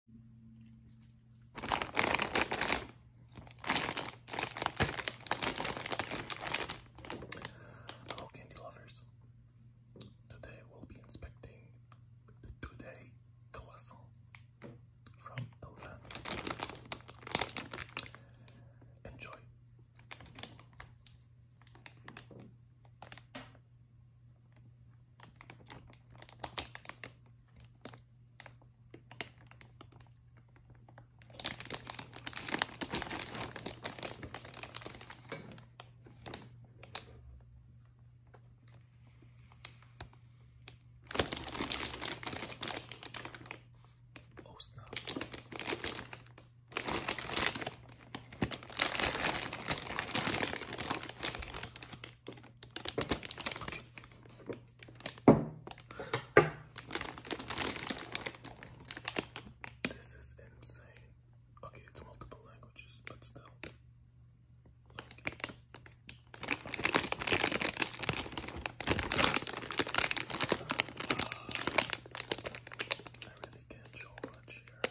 Hello, candy lovers. Today we'll be inspecting today croissant from Elvan. Enjoy. Oh, snap. This is insane. Okay, it's multiple languages, but still. Okay. Uh, I really can't show much here.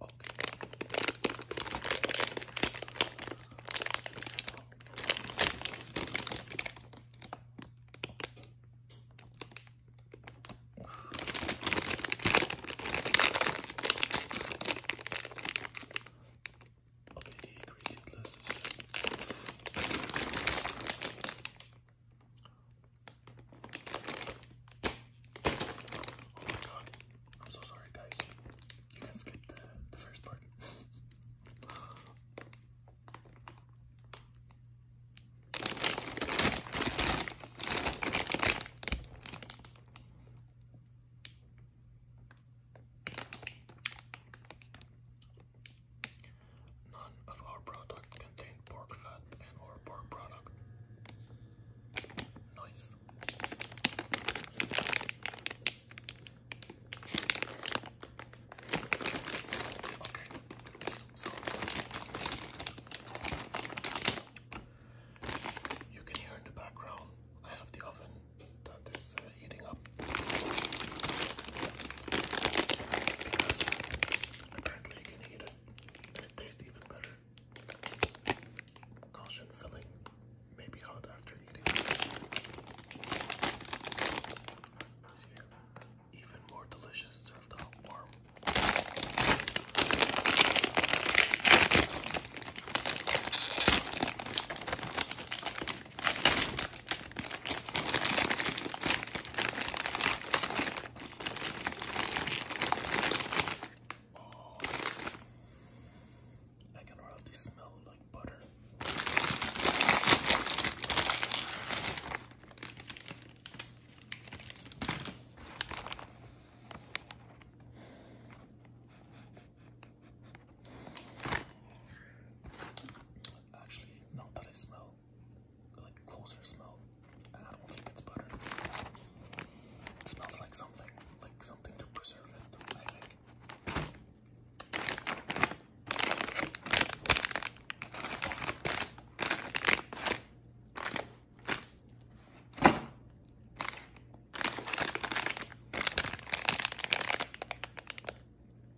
Okay. Okay, the ingredient list is Oh my god. I'm so sorry guys. You guys skipped the first part. None of our product contain pork fat and or pork product. Nice. Okay. So you can hear in the background I have the oven that is uh, heating up because apparently you can heat it it, and tastes even better. Caution, filling may be hot after eating. Even more delicious served hot warm. Oh, I can already smell like butter. Actually, now that I smell like closer smell, and I don't think it's butter. It smells like something, like something to preserve it.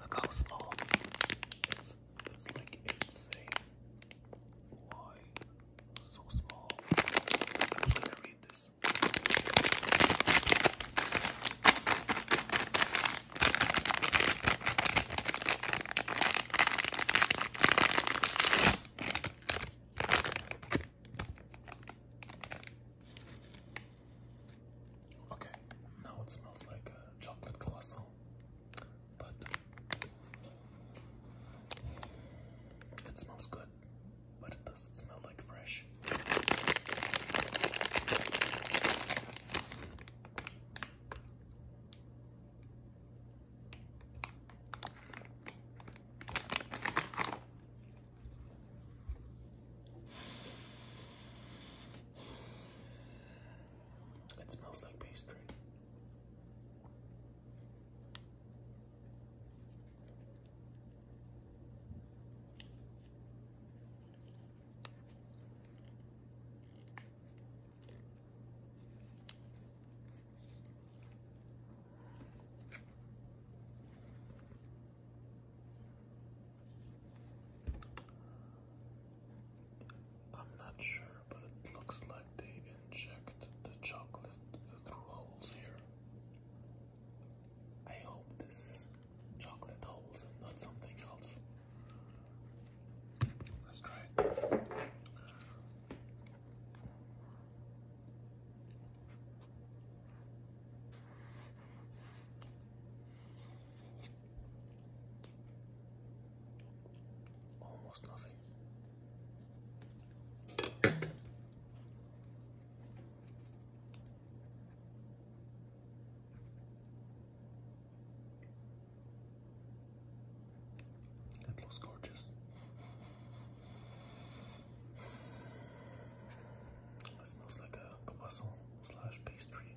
Look how small. It's, it's like insane. Why? So small. I was gonna read this. Okay, now it smells like a chocolate croissant but it smells good, but it doesn't smell like fresh. It smells like pastry. I'm not sure, but it looks like they inject the chocolate through holes here. I hope this is chocolate holes and not something else. Let's try it. Almost nothing. It looks gorgeous. It smells like a croissant slash pastry.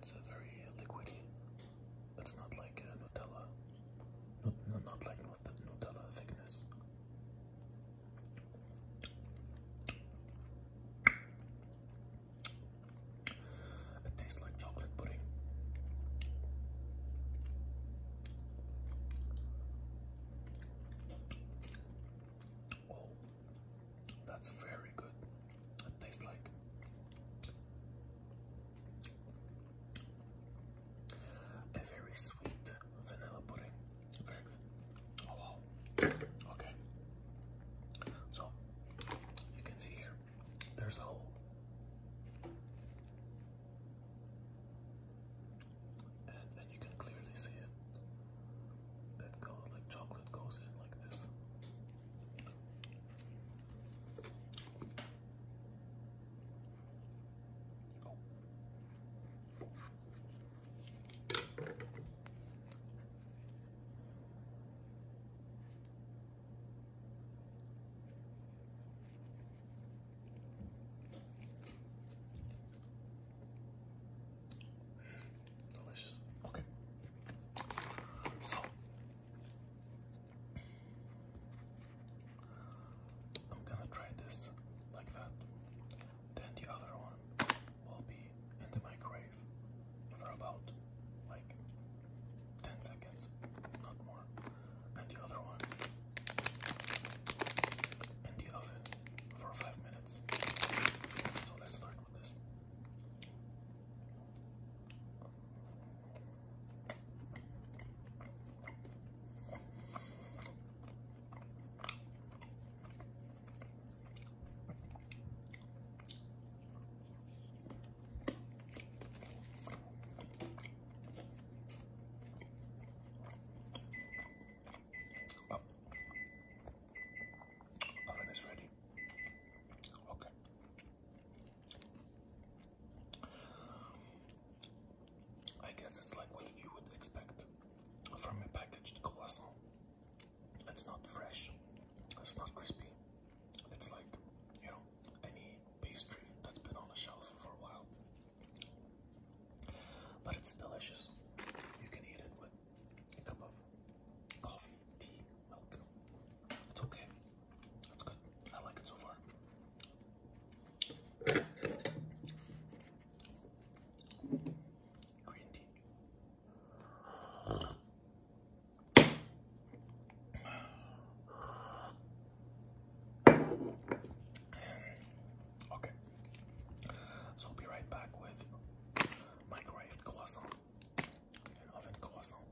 It's a very liquidy. It's not like uh, Nutella. Not, not like Nutella thickness. It tastes like chocolate pudding. Oh, that's very good. It tastes like a very sweet vanilla pudding. Very good. Oh Okay. So you can see here there's a hole. And, you can clearly see it. That goes like chocolate goes in like this. Delicious. Okay. So I'm gonna try this like that. Then the other one will be in the microwave microwave for about like 10 seconds, not more. And the other one in the oven for 5 minutes. So let's start with this. Well, oh, oven is ready. Okay. I guess it's like what you would expect from a packaged croissant. It's not fresh. It's not crispy. It's like, you know, any pastry that's been on the shelf for a while. But it's delicious. You can eat it with a cup of coffee, tea, milk. It's okay. It's good. I like it so far. Green Okay, so I'll be right back with my graved and oven croissant.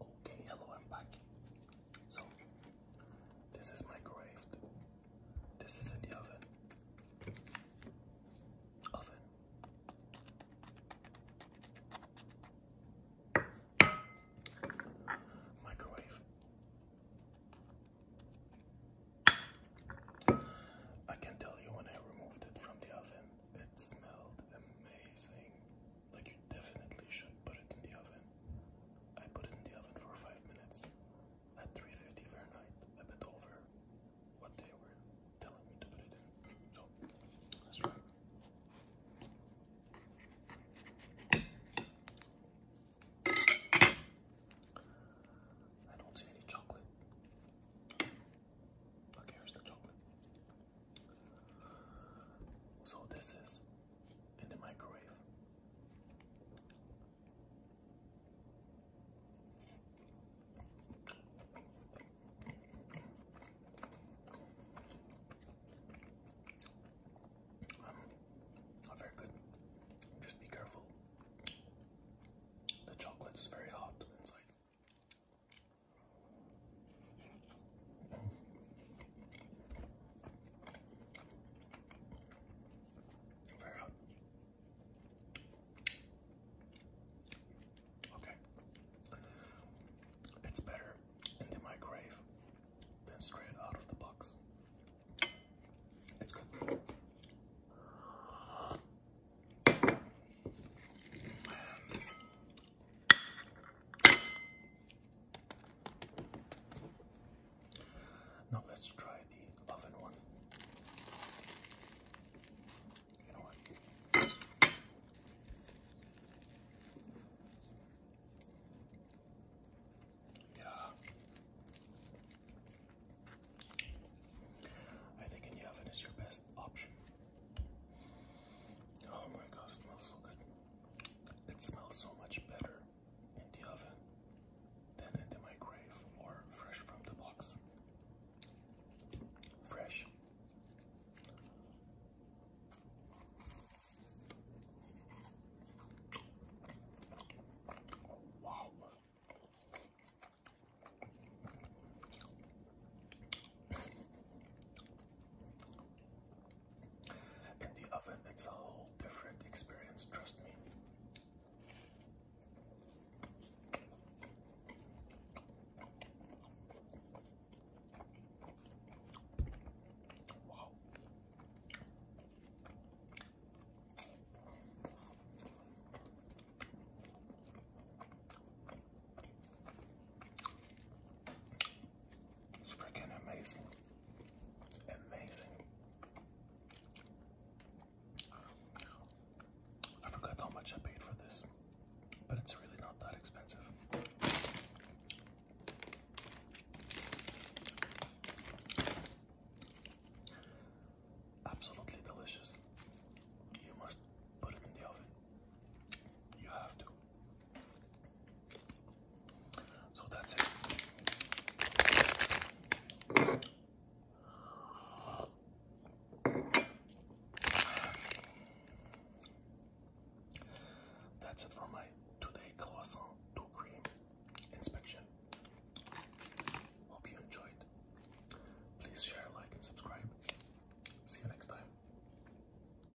Okay, hello, I'm back. So, this is my this is in the oven. Oven. Microwave. I can tell you when I removed it from the oven, it smelled amazing. Like you definitely should put it in the oven. I put it in the oven for five minutes at 350 Fahrenheit, a bit over what they were telling me to put it in. So let's I don't see any chocolate. Okay, here's the chocolate. So this is in the microwave Oh, very good. Just be careful. The chocolate is very hot inside. Okay. It's better in the microwave than straight out of the box. It's good. Now let's try the oven one. Yeah. I think in the oven is your best option. Oh my god, it smells so good. It smells so much better in the oven, then in my grave, or fresh from the box. Fresh. wow. In the oven, it's a whole different experience, trust me. Wow. It's freaking amazing. Amazing. I forgot how much I paid for this, but it's really not that expensive. Absolutely delicious. You must put it in the oven. You have to. So that's it. That's it for my today croissant to cream inspection. Hope you enjoyed. Please share, like, and subscribe. See you next time.